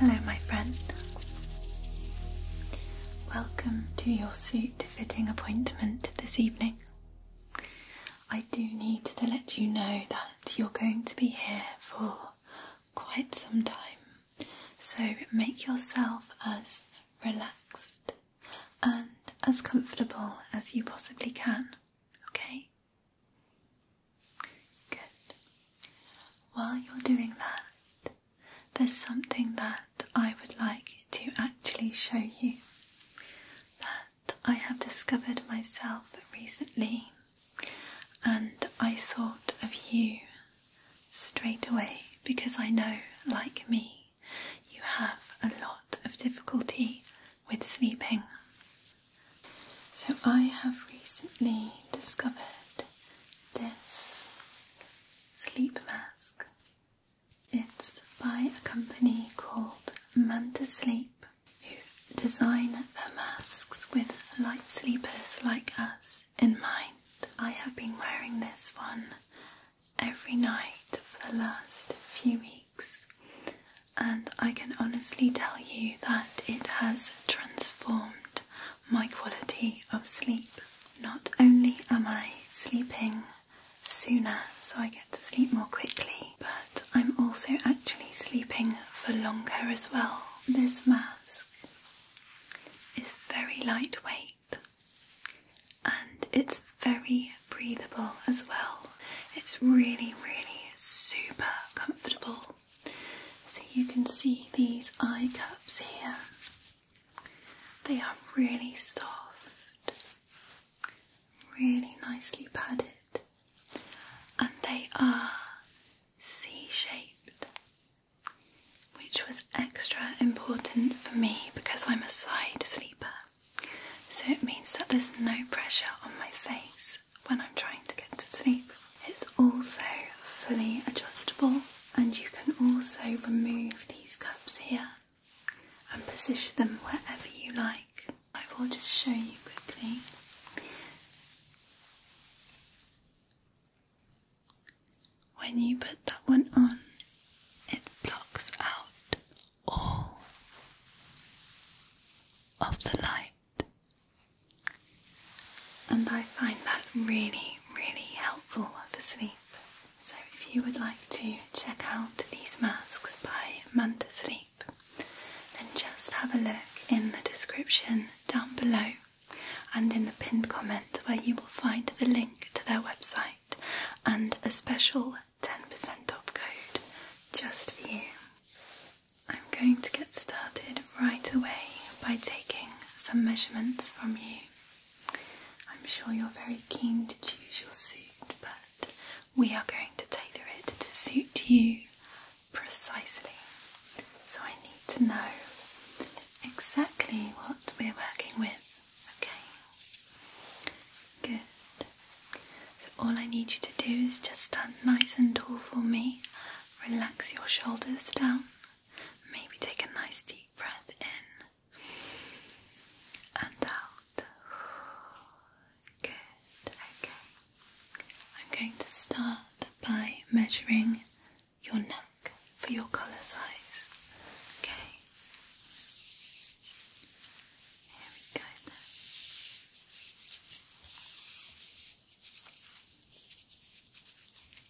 Hello, my friend. Welcome to your suit fitting appointment this evening. I do need to let you know that you're going to be here for quite some time, so make yourself as relaxed and as comfortable as you possibly can, okay? Good. While you're doing that, there's something that I would like to actually show you that I have discovered myself recently, and I thought of you straight away because I know, like me, you have a lot of difficulty with sleeping. So, I have recently discovered this sleep mask. It's by a company called Manta Sleep, who design their masks with light sleepers like us in mind. I have been wearing this one every night for the last few weeks, and I can honestly tell you that it has transformed my quality of sleep. Not only am I sleeping sooner, so I get to sleep more quickly, but I'm also actually sleeping for longer as well. This mask is very lightweight and it's very breathable as well. It's really, really super comfortable. So you can see these eye cups here. They are really soft, really nicely padded, and they are C shaped, which was extra important for me because I'm a side sleeper. So it means that there's no pressure on my face when I'm trying to get to sleep. It's also fully adjustable, and you can also remove these cups here and position them wherever you like. I will just show you quickly. When you put that one on, it blocks out all of the light and I find that really, really helpful for sleep. So if you would like to check out these masks by Manta Sleep, then just have a look in the description down below and in the pinned comment where you will find the link to their website and a special 10% off code just for you. I'm going to get started right away by taking some measurements from you. I'm sure you're very keen to choose your suit, but we are going to tailor it to suit you precisely. So I need to know exactly what we're working with, okay? Good. So all I need you to do is just stand nice and tall for me, relax your shoulders down. Maybe take a nice deep breath in and out. Good, okay. I'm going to start by measuring your neck for your collar size. Okay. Here we go.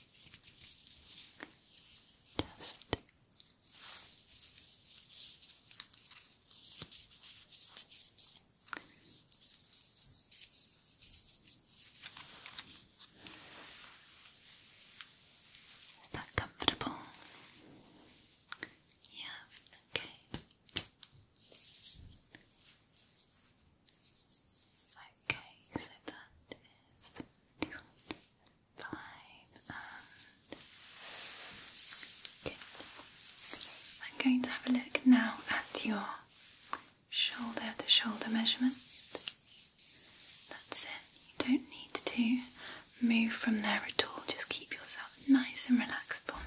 Just is that comfortable? Yeah, okay. Okay, so that is five I'm going to have a look now at your shoulder to shoulder measurement. That's it. You don't need to move from there at all. Just keep yourself nice and relaxed for me.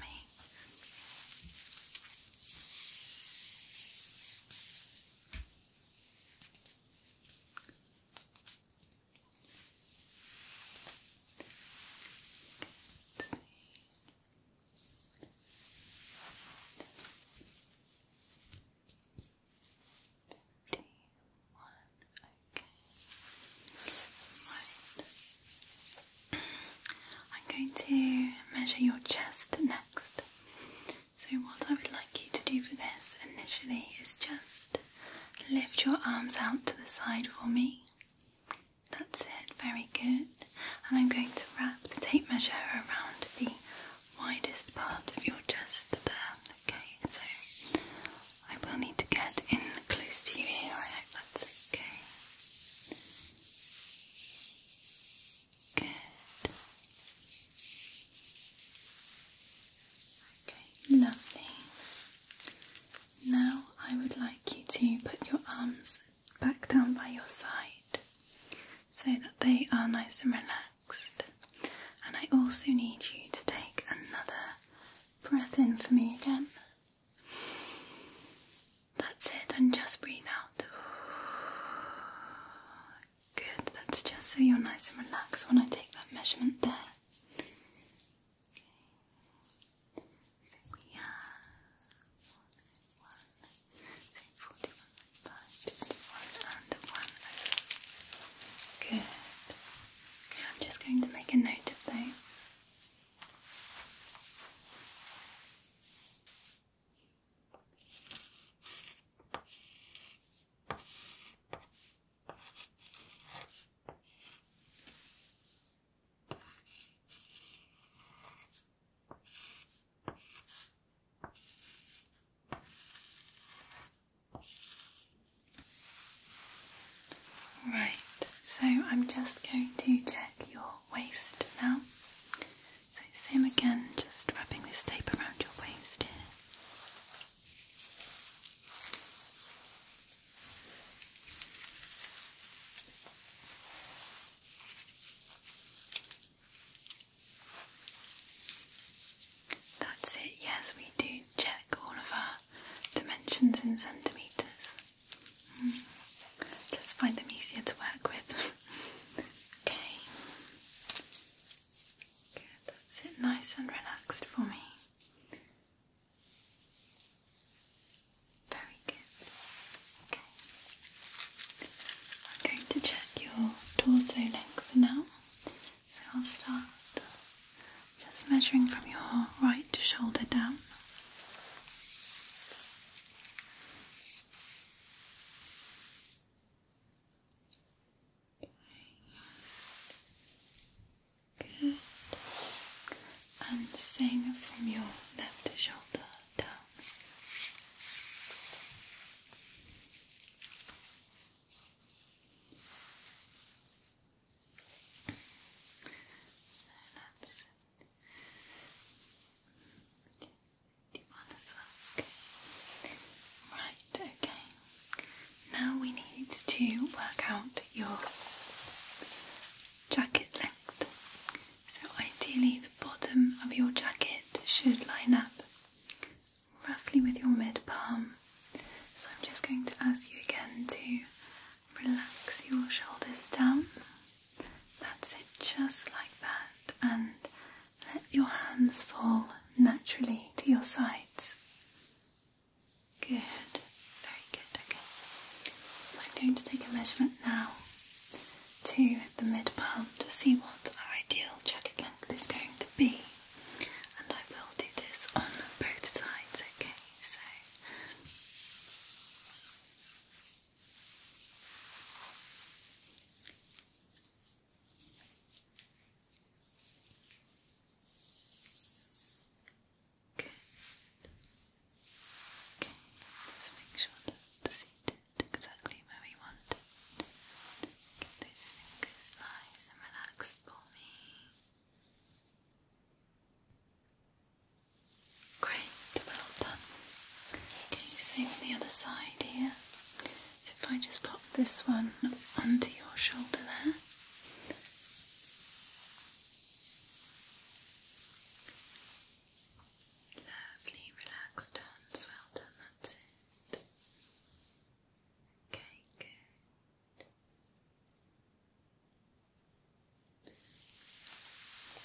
I'm going to measure your chest next. So, what I would like you to do for this initially is just lift your arms out to the side for me. That's it, very good. And I'm going to wrap the tape measure around the widest part of your chest there. Okay, so I will need to get in close to you here. I hope that's okay. Good. Okay, lovely. Now I would like you to put your arms back down by your side so that they are nice and relaxed. And I also need you to take another breath in for me again. That's it, and just breathe out. Good, that's just so you're nice and relaxed when I take that measurement there. Okay. So we have one, two, one, and one. Good. Okay, I'm just going to make a note of those. Right, so I'm just going to check your waist now same again, just wrapping this tape around your waist here. That's it, yes, we do check all of our dimensions in centimetres. Mm. Just find them easier to work with. okay, Sit nice and relaxed for me. Very good. Okay. I'm going to check your torso length for now. So I'll start just measuring from your right shoulder down. Good. And same from your left shoulder down. that's it. Right, okay. Now we need to work out your jacket length. So ideally the bottom of your jacket should line up roughly with your mid palm. So I'm just going to ask you again to relax your shoulders down. That's it, just like that, and let your hands fall naturally to your sides. Good, very good. Okay, so I'm going to take a measurement now to the mid palm to see what our ideal jacket length is going to be, and I will do this on both sides. Okay, so. Good. Okay, just make sure that it's seated exactly where we want it. Get those fingers nice and relaxed for me. Great, well done. Okay, same on the other side here. So if I just pop this one onto your shoulder there. Lovely, relaxed hands, well done, that's it. Okay, good.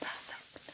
Perfect.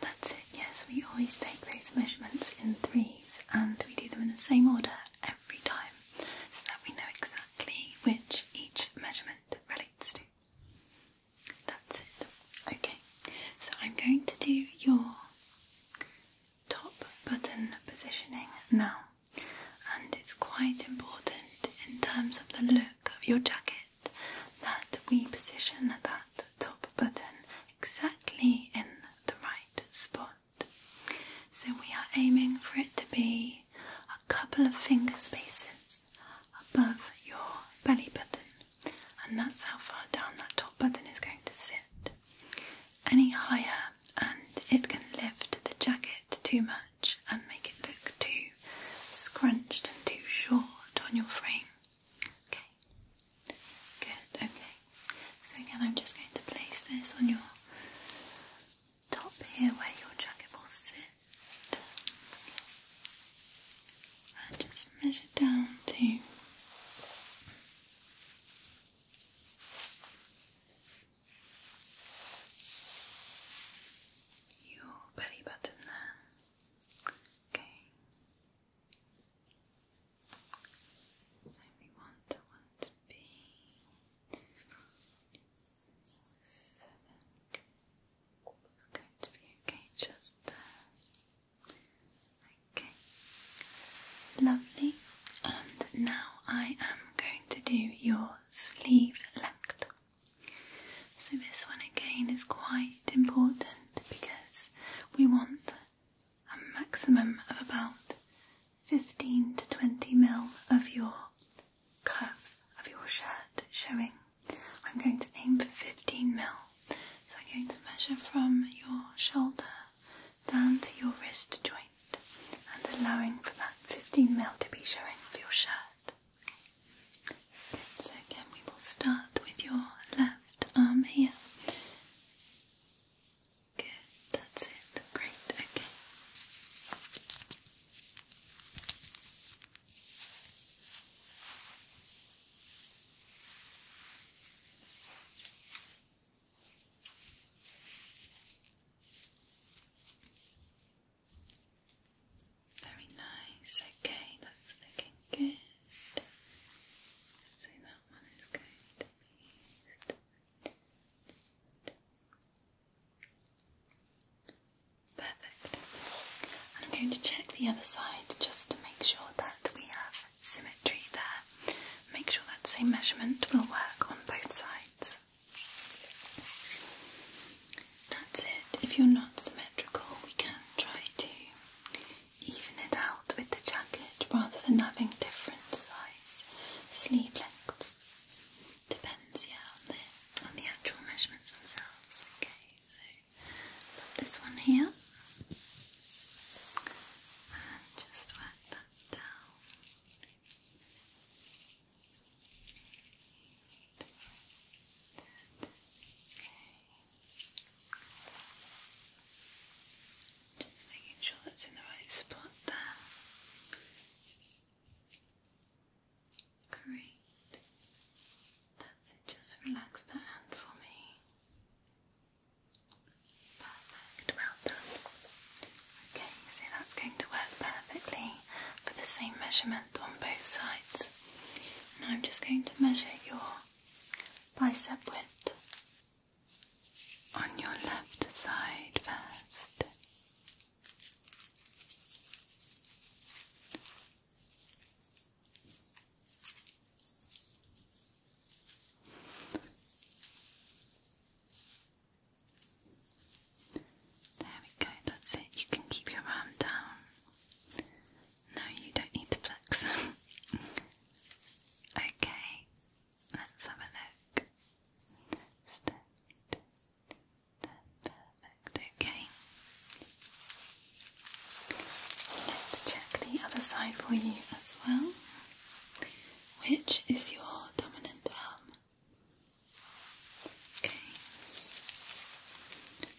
That's it, yes, we always take those measurements in threes and we do them in the same order every time so that we know exactly which each measurement relates to. That's it. Okay, so I'm going to do your top button positioning now, and it's quite important in terms of the look of your jacket that we position that top button exactly in the right spot. So we are aiming for it to be a couple of finger spaces above your belly button, and that's how far down that top button is going to sit. Any higher, and it can lift the jacket too much and make it look too scrunched and too short on your frame. Okay, Good, okay. So again, I'm just going to place this on your top here where your jacket will sit. And just measure down to your belly button there. Okay we want that one to be seven. It's going to be okay just Okay, lovely. And now I am going to do your sleeve length. So, this one again is quite important because we want a maximum of about 15 to 20 mil of your cuff of your shirt showing. I'm going to aim for 15 mil. So I'm going to measure from your shoulder down to your wrist joint and allowing for that 15 mil to be showing of your shirt. so again we will start with your left arm here. Good, that's it. Great, okay. Very nice, okay, that's looking good. See that one is going to be perfect. I'm going to check the other side just to make sure that we have symmetry there. Make sure that same measurement will work on both sides. That's it. If you're not symmetrical, we can try to even it out with the jacket rather than having different sizes, sleeve lengths. Depends, yeah, on the on the actual measurements themselves. Okay, so put this one here just work that down. Okay. Just making sure that's in the right spot there. Great. That's it, just relax that hand for me. Perfect, well done. Okay, so that's going to work perfectly for the same measurement on both sides. Now I'm just going to measure your bicep width on your left side first. There we go, that's it. You can keep your arm down. No, you don't need to flex. okay, Let's have a look. perfect. Okay. Let's check the other side for you as well. Which is your dominant arm? Okay.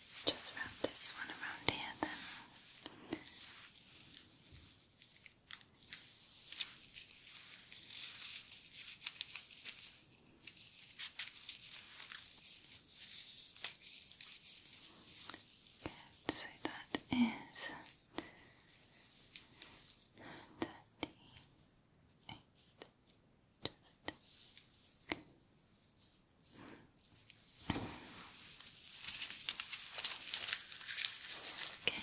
Let's just wrap this one around here then. Good, so that is thirty eight. Just Okay,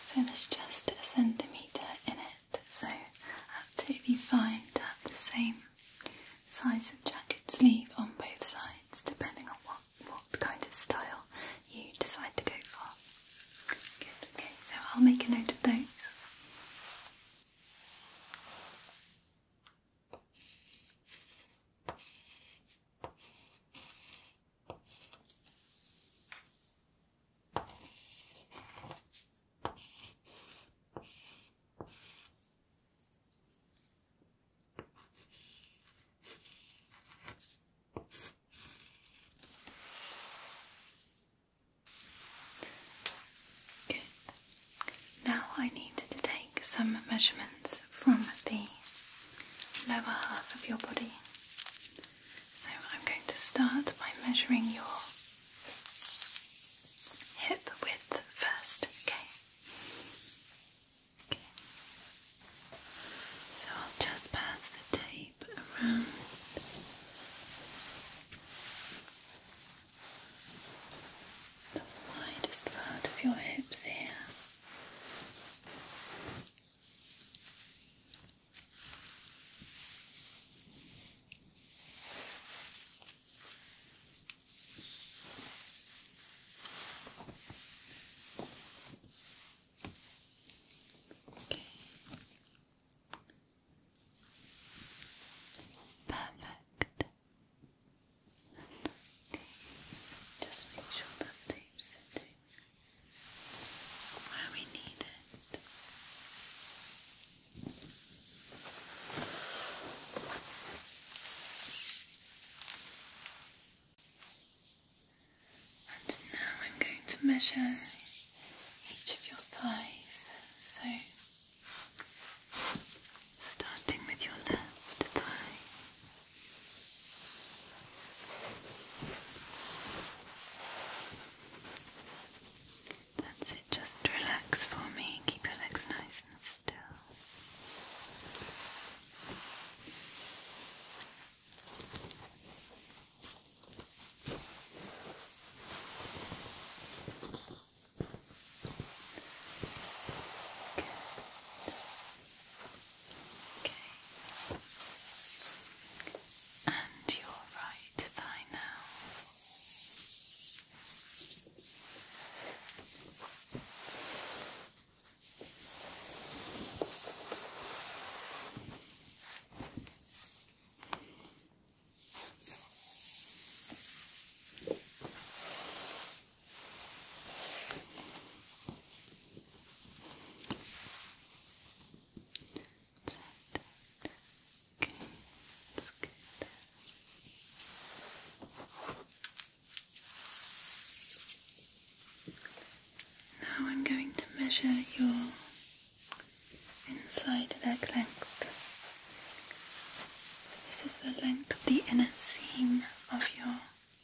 So that's just a centimetre in it, so absolutely fine to have the same size of jacket sleeve on both sides, depending on what, what kind of style you decide to go for. Good, okay, so I'll make a note of those. Good. Now I need to take some measurements from the lower half of your body. So I'm going to start by measuring your hip width first, okay? So I'll just pass the tape around. The widest part of your hips here. Okay. Perfect. Okay. Just make sure that tape's sitting and now I'm going to measure each of your thighs. So, starting with your left thigh just relax for me. Keep your legs nice and still. Okay. And your right thigh now. Okay. Okay, that's good. Now I'm going to measure your inside leg length. So this is the length of the inner seam of your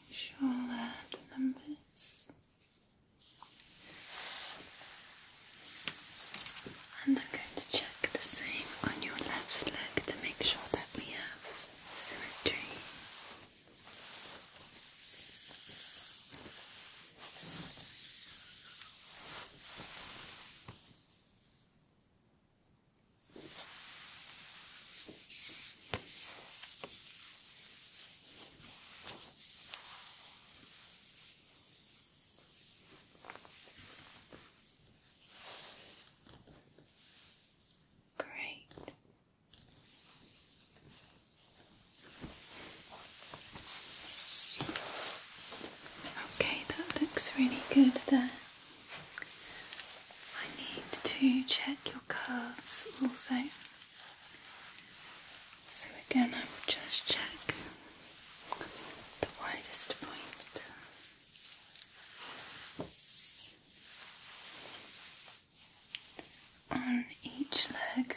making sure that the numbers and I'm going to check the same on your left leg to make sure that we have symmetry. Great. Okay, that looks really good there. I need to check your curves also. So again, I will just check the widest point. On each leg,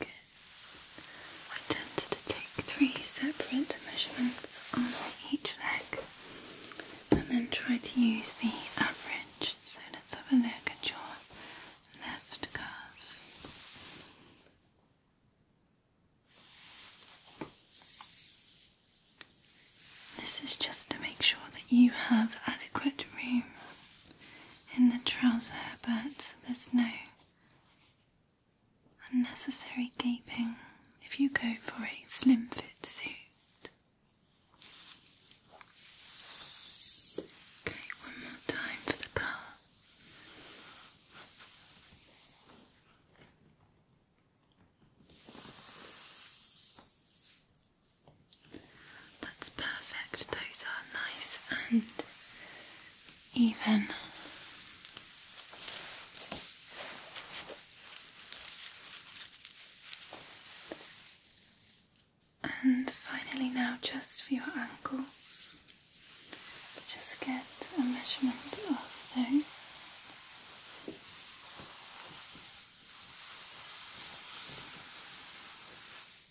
I tend to take three separate measurements on each leg and then try to use the average. So let's have a look at your left calf. This is just to make sure that you have adequate room in the trouser, but there's no unnecessary gaping if you go for a slim fit suit. Okay, one more time for the car. That's perfect. Those are nice and even. And finally, now just for your ankles, let just get a measurement of those.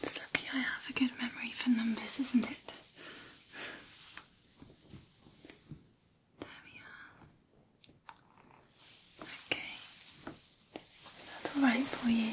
It's lucky I have a good memory for numbers, isn't it? Okay. Is that alright for you?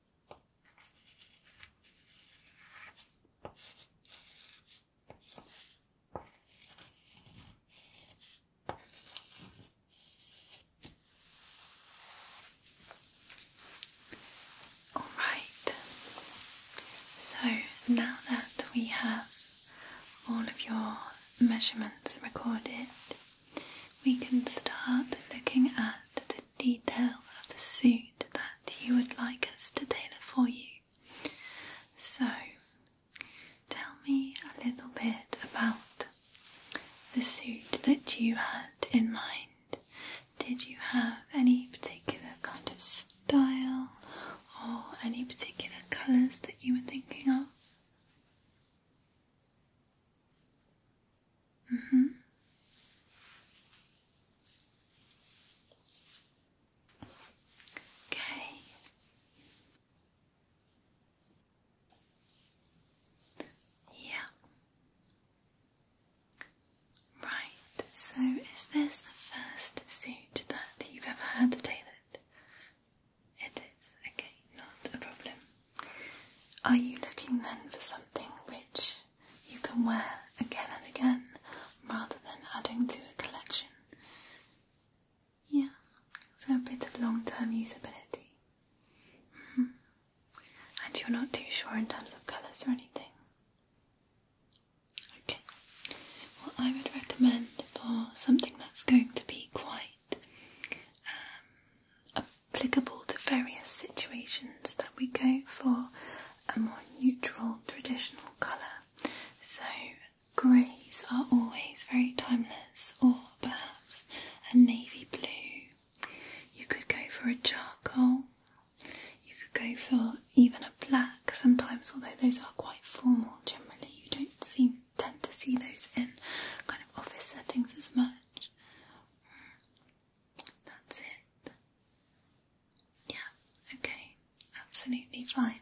All right, so now that we have all of your measurements recorded, we can start looking at the detail of the suit that you would like us to tailor for you. So, tell me a little bit about the suit that you had in mind. Did you have any particular kind of style or any particular colours that you were thinking of? Mm hmm. Okay. Yeah. Right, so is this the first suit that you've ever had tailored? It is, okay, not a problem. Are you looking then for something which you can wear again and again rather than adding to a collection. Yeah, so a bit of long term usability. Mm-hmm. And you're not too sure in terms of colours or anything? Okay, well, I would recommend for something that's going to be quite um, applicable to various situations that we go for a more neutral traditional colour. So greys are always very timeless, or perhaps a navy blue. You could go for a charcoal, you could go for even a black sometimes, although those are quite formal generally. You don't seem tend to see those in kind of office settings as much. That's it. Yeah, okay, absolutely fine.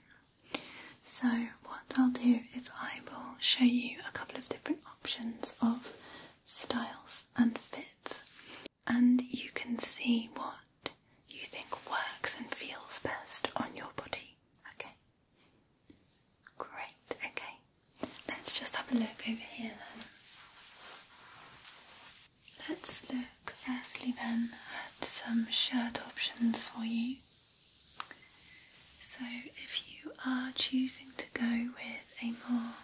So, what I'll do is I will show you a couple of different options of styles and fits, and you can see what you think works and feels best on your body. Okay, great. Okay, let's just have a look over here then. Let's look firstly then at some shirt options for you. So, if you are choosing to go with a more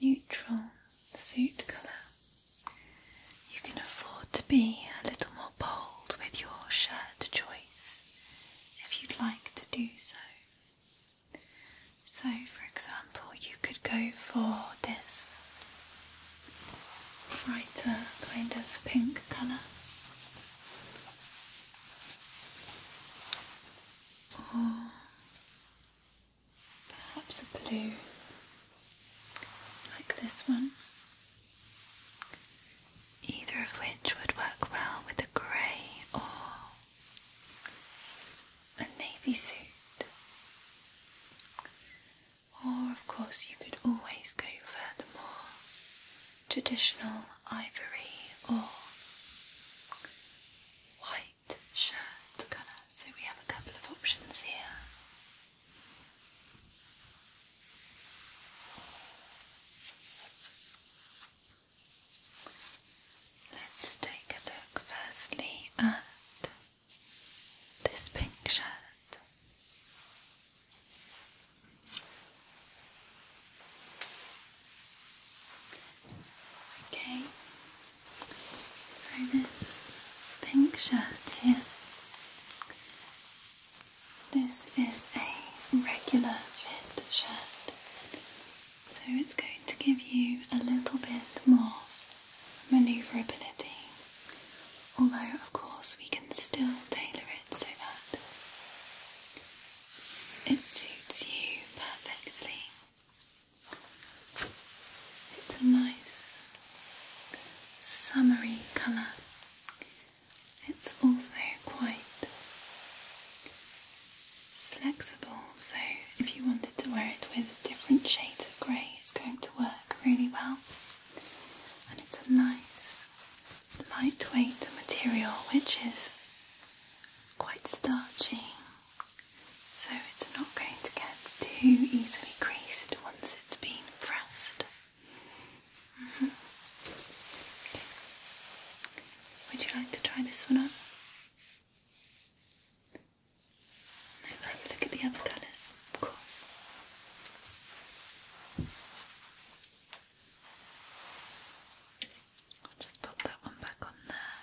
neutral suit colour, you can afford to be a little more bold with your shirt choice if you'd like to do so. So, for example, you could go for this brighter kind of pink colour, or perhaps a blue like this one. Either of which would work well with the grey or a navy suit. Or, of course, you could always go for the more traditional ivory or white shirt colour. So, we have a couple of options here. Let's take a look firstly at this pink shirt. Okay, so this pink shirt here, this is a regular fit shirt so it's going to give you a little bit more manoeuvrability, although, of course, we can still tailor it so that it suits you perfectly. It's a nice summery colour. It's also quite flexible, so if you wanted to wear it with different shades of grey, it's going to work really well. And it's a nice, lightweight material which is quite starchy, so it's not going to get too easily creased once it's been pressed. Mm-hmm. Would you like to try this one on? look at the other colours, of course. just pop that one back on there.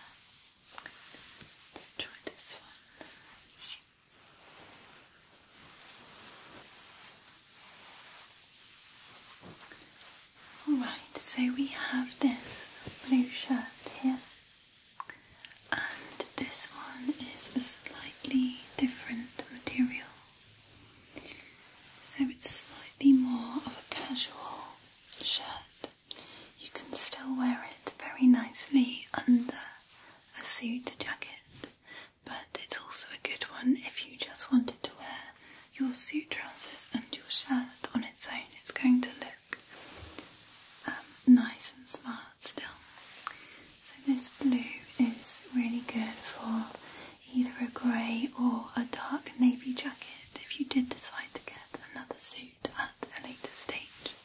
Let's try this one. Alright, so we have this blue shirt here and this one is a slightly different material. So it's slightly more of a casual shirt. You can still wear it very nicely under a suit jacket, but it's also a good one if you just wanted to wear your suit trousers and your shirt on its own. It's going to look um, nice and smart still. So, this blue is really good for either a grey or a dark navy jacket if you did decide to get another suit at a later stage.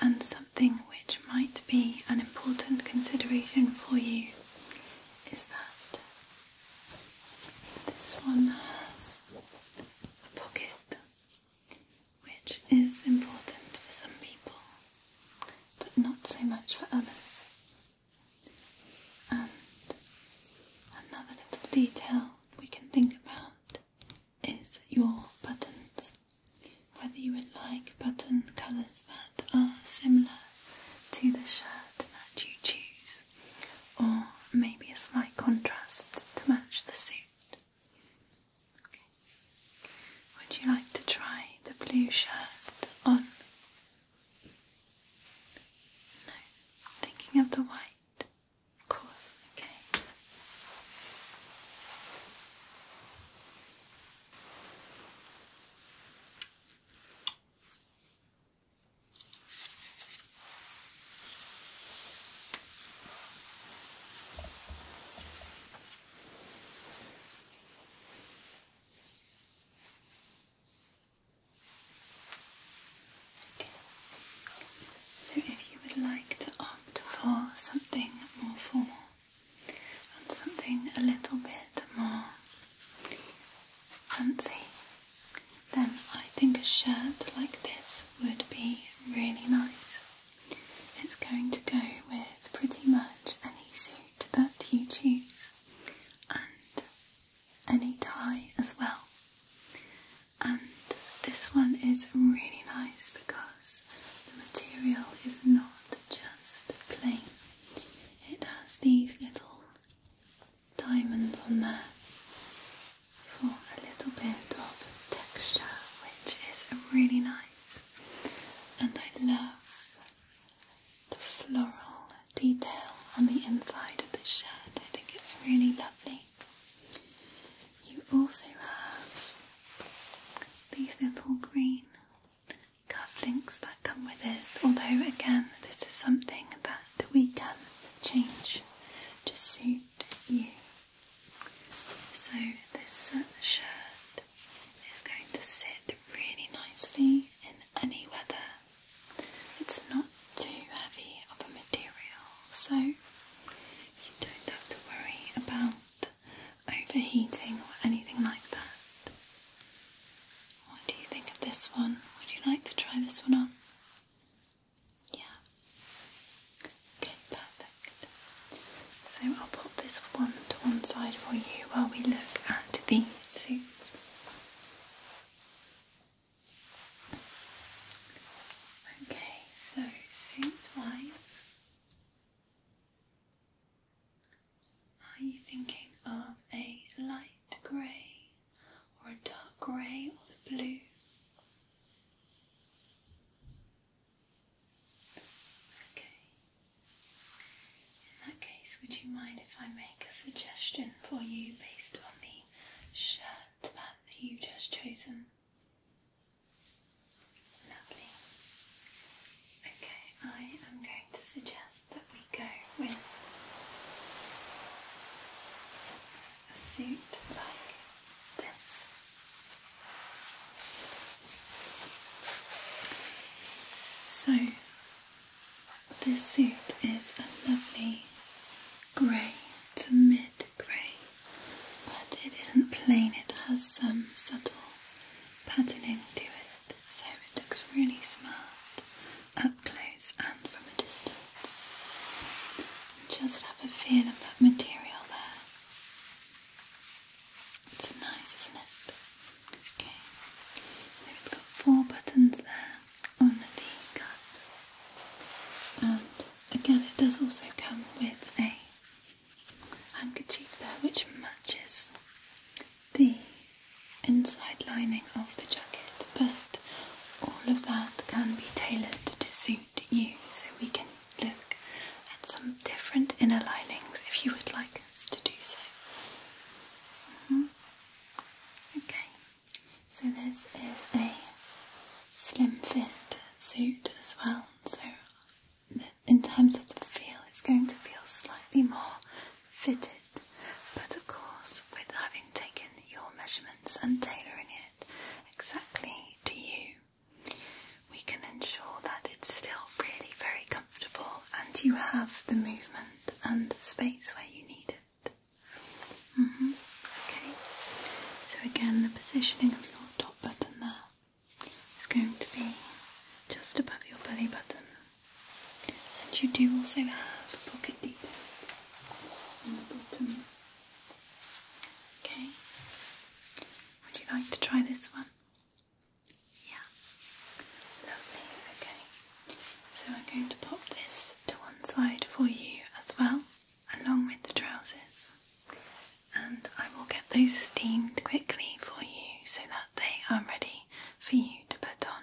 And something which might be an important consideration for you is that this one has a pocket which is important for some people but not so much for others. And another little detail we can think about is your buttons. Whether you would like button colours that are similar to the shirt that you choose, or maybe a slight contrast to match the suit. Would you like to try the blue shirt on? No, thinking of the white. Of course, okay. So, if you would like to opt for something more formal and something a little bit more fancy, then I think a shirt like this would be really nice. It's going to go with pretty much any suit that you choose and any tie as well. And this one is really nice because the material is not just plain, it has these little diamonds on there for a little bit of texture, which is really nice. And I love the floral detail on the inside of the shirt, I think it's really lovely. You also have these little green cufflinks that come with it, although, again, this is something that we can change to suit you. So this uh, shirt is going to sit really nicely in any weather. It's not too heavy of a material, so you don't have to worry about overheating or anything like that. What do you think of this one? Would you like to try this one on? Yeah. Okay, perfect. So I'll put this one to one side for you while we look at the suits. Okay, so suit wise, are you thinking of a light grey or a dark grey or the blue? Okay. In that case, would you mind if I make a suggestion for you based on the shirt that you've just chosen? Lovely. Okay, I am going to suggest that we go with a suit like this. So, this suit is a lovely grey to mid grey, but it isn't plain, it has some subtle patterning to it, so it looks really smart up close and from a distance. Just have a feel of that material there. It's nice, isn't it? Okay, so it's got four buttons there on the cups, and again, it does also come with a handkerchief there which matches the inside lining of the jacket, but all of that can be tailored to suit to you so we can look at some different inner linings if you would like us to do so. Mm-hmm. Okay, so this is a slim fit suit as well, so in terms of the feel, it's going to feel slightly more fitted, but of course, with having taken your measurements and tailoring it exactly to you, we can ensure that it's still really very comfortable and you have the movement and space where you need it. Mm-hmm. Okay, so again, the positioning of your top button there is going to be just above your belly button, and you do also have pocket details on the bottom. Okay, would you like to try this one? Yeah. Lovely, okay. So I'm going to pop this to one side for you as well, along with the trousers. And I will get those steamed quickly for you so that they are ready for you to put on.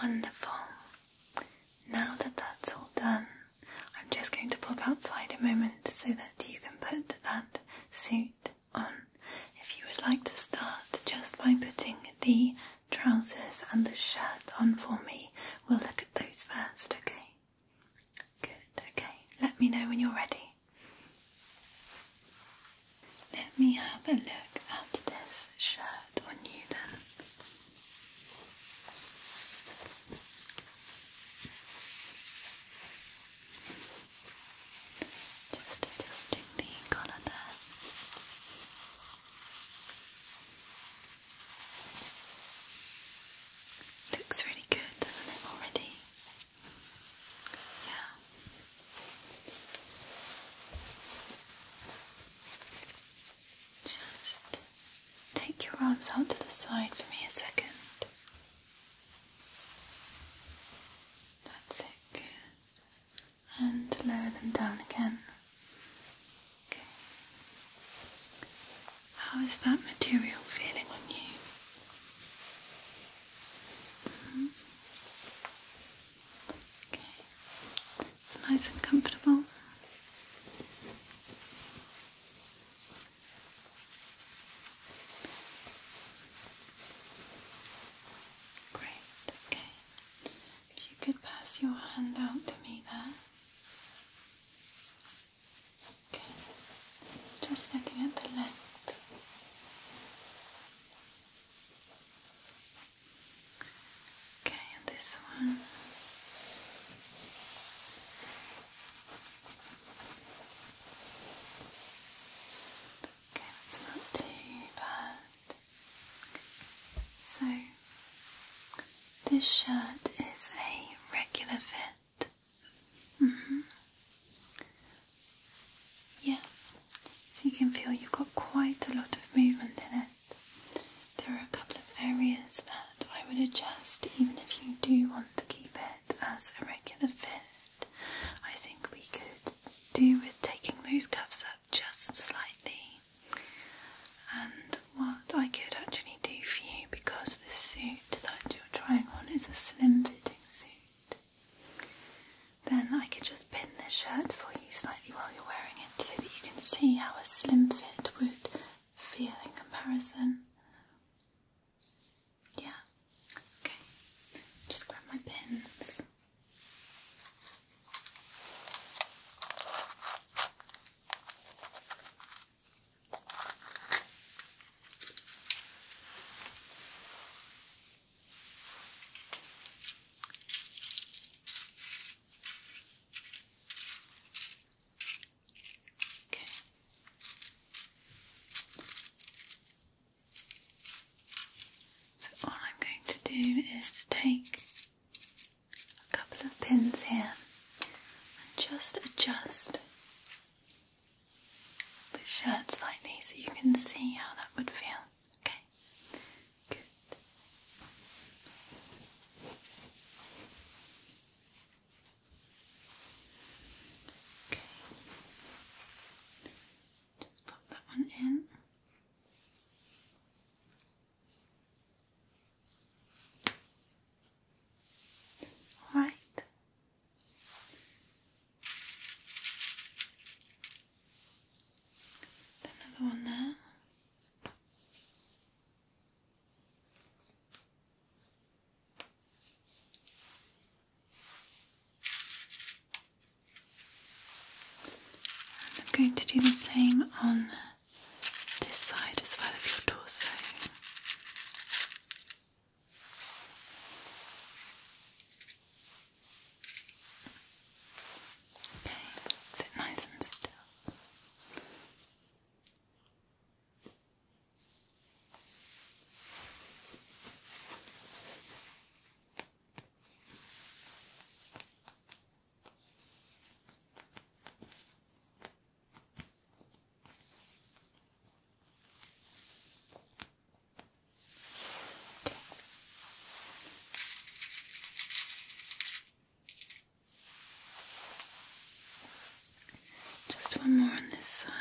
Wonderful. Now that that's all done, I'm just going to pop outside a moment so that you can put that suit on. If you would like to start just by putting the trousers and the shirt on for me, we'll look at those first, okay? Good, okay. Let me know when you're ready. Let me have a look at this shirt on you then. Just adjusting the colour there. Looks really good, doesn't it, already? Just take your arms out to the side for me a second. That's it, good. And lower them down again. Okay. How is that material feeling on you? Mm-hmm. it's nice and comfortable. Great, okay. If you could pass your hand out to me there. Okay. Just looking at the length. Okay, this one. Okay, that's not too bad. So, this shirt is a regular fit, Mm-hmm. Yeah, so you can feel you've got quite a lot of movement in it. There are a couple of areas that I would adjust, even if you do want to keep it as a regular fit. I think we could do with taking those cuffs up just slightly. And what I could actually do for you, because the suit that you're trying on is a slim fit then I could just pin this shirt for you slightly while you're wearing it so that you can see how a slim fit would feel in comparison. Yeah, okay, just grab my pins. So all I'm going to do is take a couple of pins here and just adjust the shirt slightly so you can see how that would feel. Okay, good. Okay, just pop that one in. All right, Another one there. I'm going to do the same on this side as well of your torso. Okay, sit nice and still. Just one more on this side.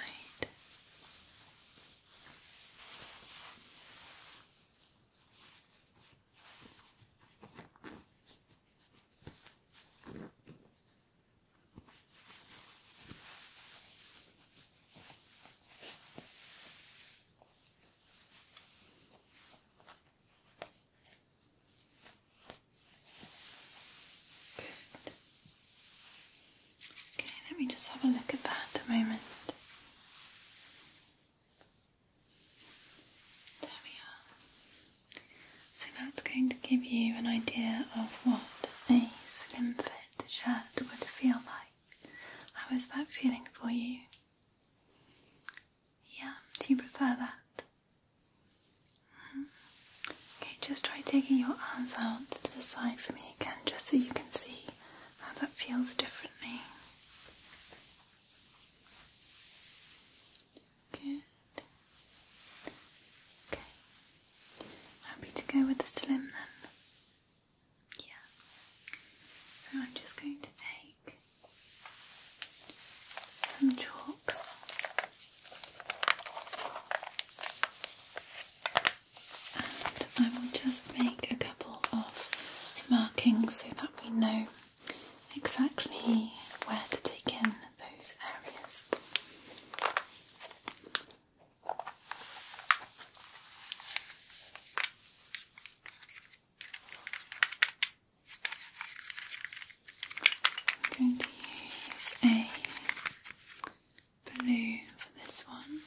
Okay, let me just have a look at that a moment. There we are. So that's going to give you an idea of what a slim fit the shirt would feel like. How is that feeling for you? Yeah, do you prefer that? Mm-hmm. Okay, just try taking your arms out to the side for me again, just so you can see how that feels differently. Good. Okay. Happy to go with the slim then? Yeah. So I'm just going to take some chalks. And I will just make a couple of markings so that we know exactly where to take in those areas. I'm going to use a blue for this one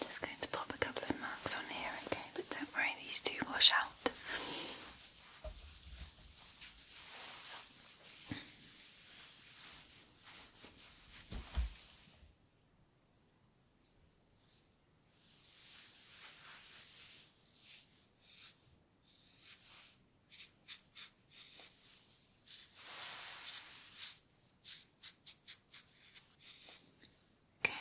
just going to pop a couple of marks on here, okay? But don't worry, these do wash out. Okay.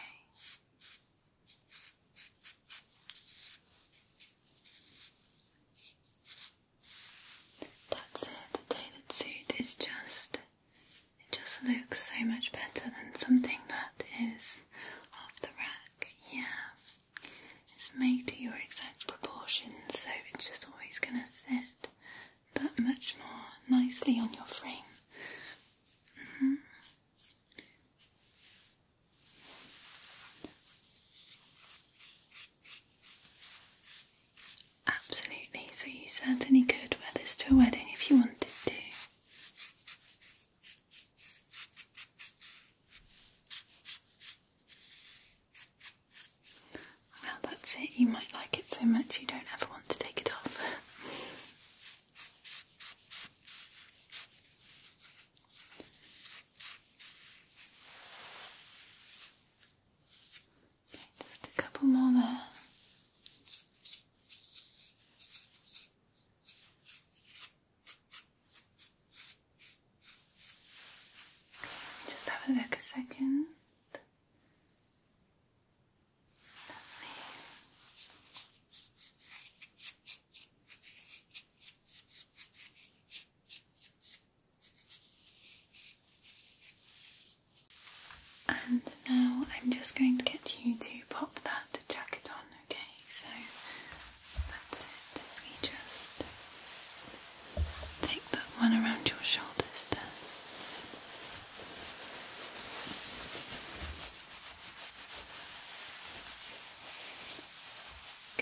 That's it. The tailored suit is just it just looks so much better than something that is off the rack. Yeah. It's made to your exact proportions, so it's just always going to sit that much more nicely on your frame. Mm-hmm. Absolutely, so you certainly could wear this to a wedding if you wanted to. Well, that's it. You might like it so much you don't ever want to take it off. just a couple more there. Just have a look a second. Lovely. And now I'm just going to get you to pop that jacket on okay? So that's it. we just take that one around your shoulders there.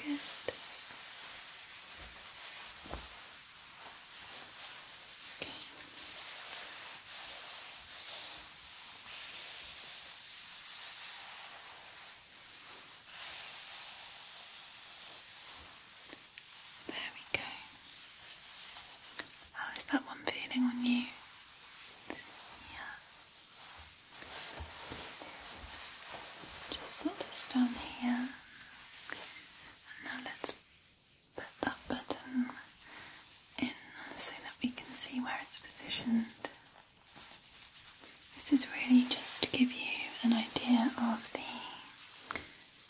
Good. Okay. There we go. How is that one feeling on you? Yeah. Just sort this down here. now let's put that button in so that we can see where it's positioned. This is really just to give you an idea of the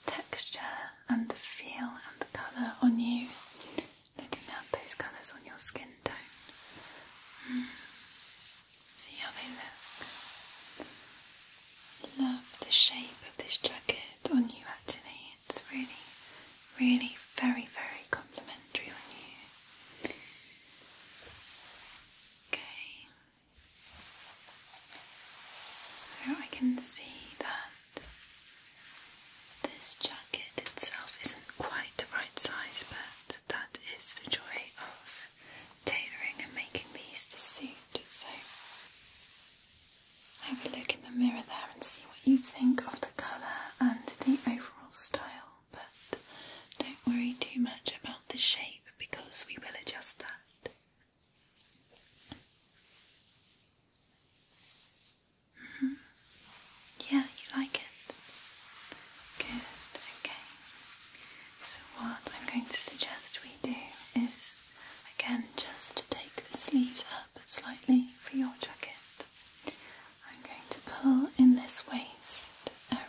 texture and the feel and the colour on you, looking at those colours on your skin tone. Mm. See how they look. Love the shape of this jacket on you actually, it's really, really very, very complimentary on you. Okay. So I can see that this jacket itself isn't quite the right size, but that is the joy of tailoring and making these to suit. So have a look in the mirror there and see what you think of the colour and the overall style but don't worry too much about the shape because we will adjust that. Mm-hmm. Yeah, you like it? Good, okay. So, what I'm going to suggest we do is again just to take the sleeves up slightly for your jacket. I'm going to pull in this waist area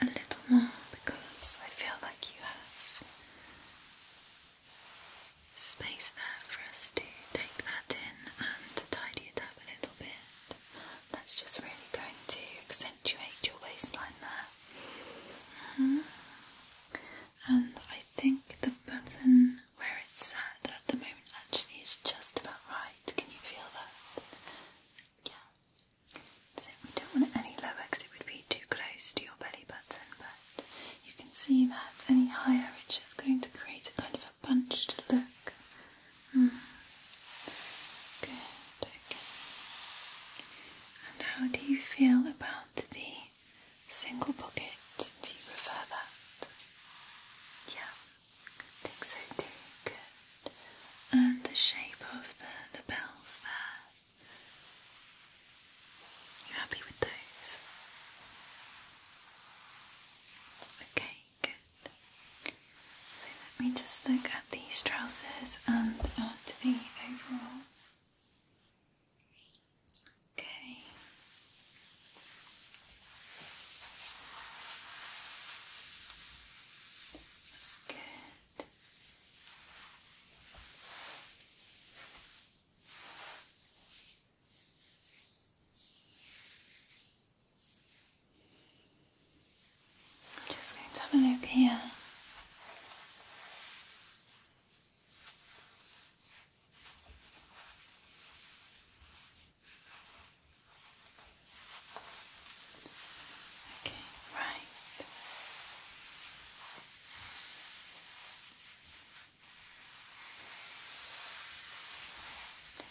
a little more because I feel like you have space there for us to take that in and tidy it up a little bit. That's just really going to accentuate your waistline there. Mm-hmm. And I think the button where it's sat at the moment actually is just about right. Can you feel that? Yeah. So we don't want it any lower because it would be too close to your belly button, but you can see that any higher it's just going to create a kind of a bunched look. Hmm. Good, okay. And how do you feel about the single pocket? Do you prefer that? Yeah, think so too. Good and the shape of the lapels there. You happy with those? Okay, good. So let me just look at these trousers and at uh, the overall. Okay. That's good. I'm just going to have a look here. Okay, right.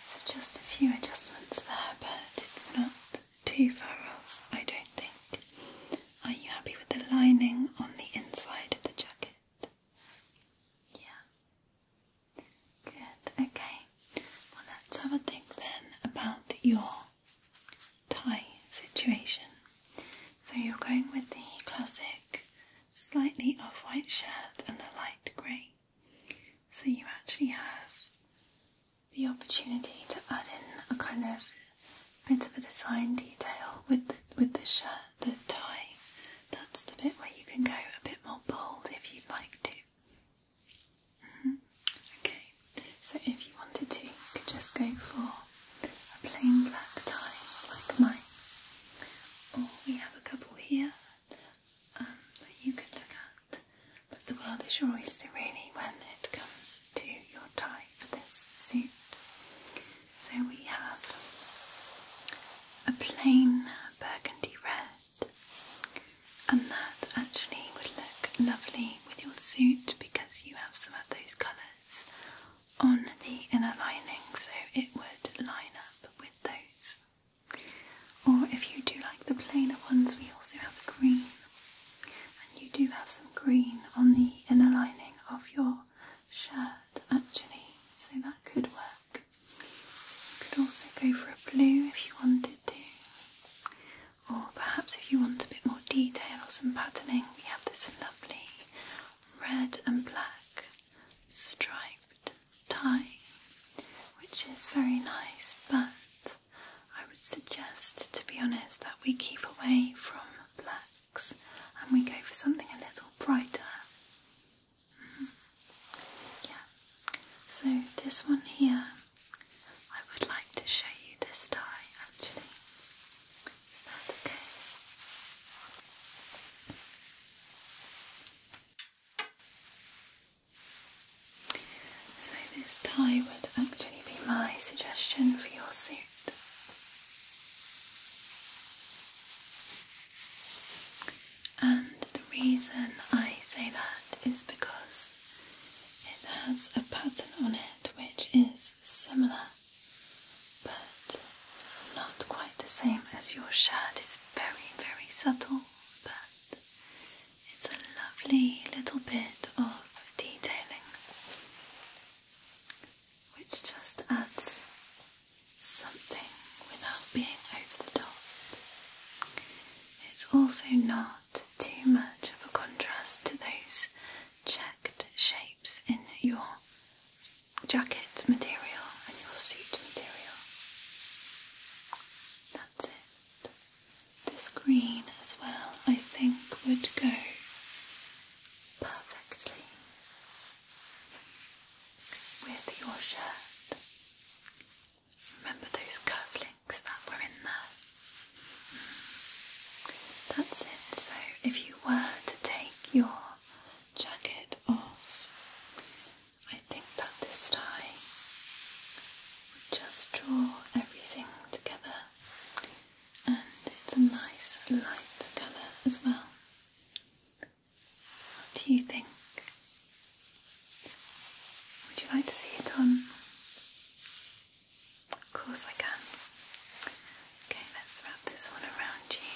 So just a few adjustments there, but it's not too far off, I don't think. Are you happy with the lining on the inside of the jacket? Yeah. Good, okay. Well, let's have a think then about your tie situation. So you're going with the classic slightly off white shirt and the light grey. So you actually have the opportunity to add in a kind of bit of a design detail with the, with the shirt, the tie. That's the bit where you can go a bit more bold if you'd like to. Mm-hmm. Okay, so if you wanted to, you could just go for a plain black tie like mine. Or we have a couple here um, that you could look at. But the world is your oyster really when it comes to your tie for this suit. So we have a plain burgundy red and that actually would look lovely with your suit because you have some of those colours on the inner lining, so it would line up with those. Or if you do like the plainer ones, we also have green, and you do have some green on the inner lining of your shirt actually, so that could work. You could also go for a blue if you wanted to, or perhaps if you want a bit more detail or some patterning, we have this lovely red and black striped tie, which is very nice, but I would suggest, to be honest, that we keep away from blacks and we go for something a little brighter. Mm-hmm. Yeah, so this one here I would like to show you this tie actually. Is that okay? So, this tie would actually be my suggestion for your suit. And the reason I say that is because it has a pattern on it which is similar but not quite the same as your shirt. It's very, very subtle, but it's a lovely little bit of detailing which just adds something without being over the top. It's also not too much of a contrast to those checked shapes in your jacket material and your suit material. That's it. This green as well, I think, would go perfectly with your shirt. Remember those curly Hmm. That's it. So if you were to take your jacket off, I think that this tie would just draw everything together and it's a nice light colour as well. What do you think? Would you like to see it on? Of course I can. Okay, let's wrap this one around you.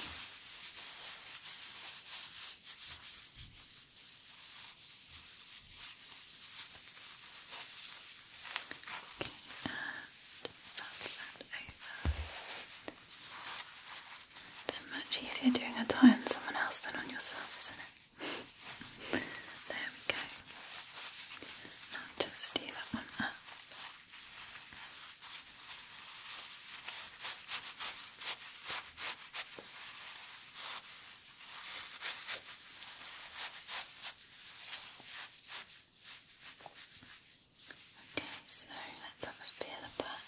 Okay, and wrap that over. It's much easier doing a tie on someone else than on yourself, isn't it? there we go. just steer that one up. Okay, so let's have a feel of that.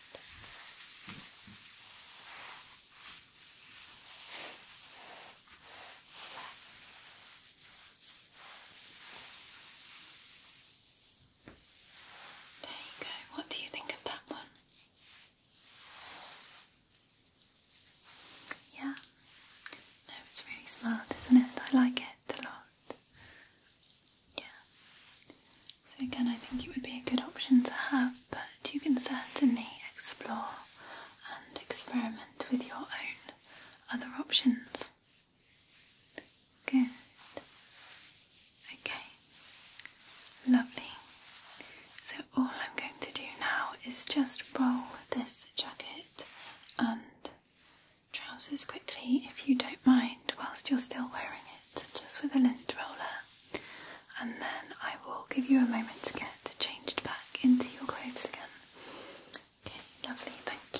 There you go. What do you think of that one? Yeah. No, it's really smart, isn't it? I like it a lot. Yeah. So again, I think it would be a good option to have, but you can certainly explore and experiment with your own other options? Good. Okay. Lovely. So, all I'm going to do now is just roll this jacket and trousers quickly, if you don't mind, whilst you're still wearing it, just with a lint roller. And then I will give you a moment to get changed back into your clothes again. Okay, lovely, thank you.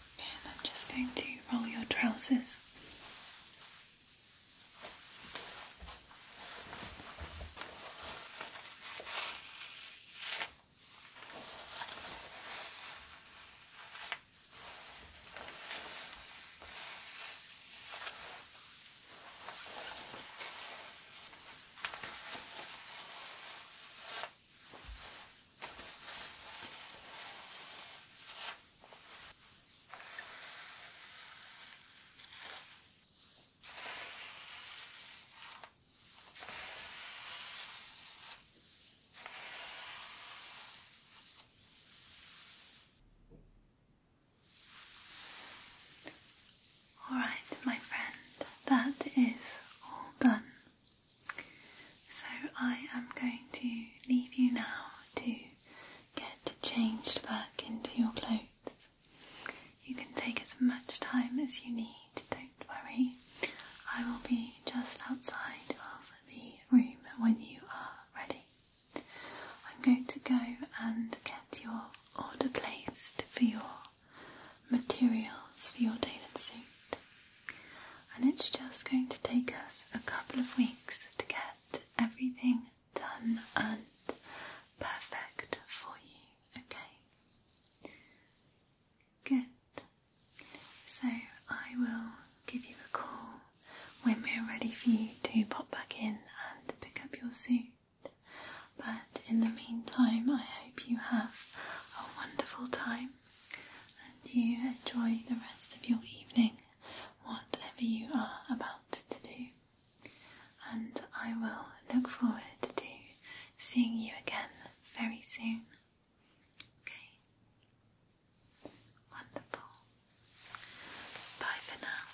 And I'm just going to roll your trousers. All right, my friend, that is all done so I am going to leave you now to get changed back into your clothes. You can take as much time as you need, don't worry. I will be just outside of the room when you are ready. I'm going to go and get your order placed for your materials for your tailored suit and it's just going to take us a couple of weeks to get everything done and perfect for you, okay? Good. So I will give you a call when we're ready for you to pop back in and pick up your suit. But in the meantime, I hope you have a wonderful time and you enjoy the rest of your evening, whatever you are about to do. And I will look forward to seeing you again very soon. Okay? Wonderful. Bye for now.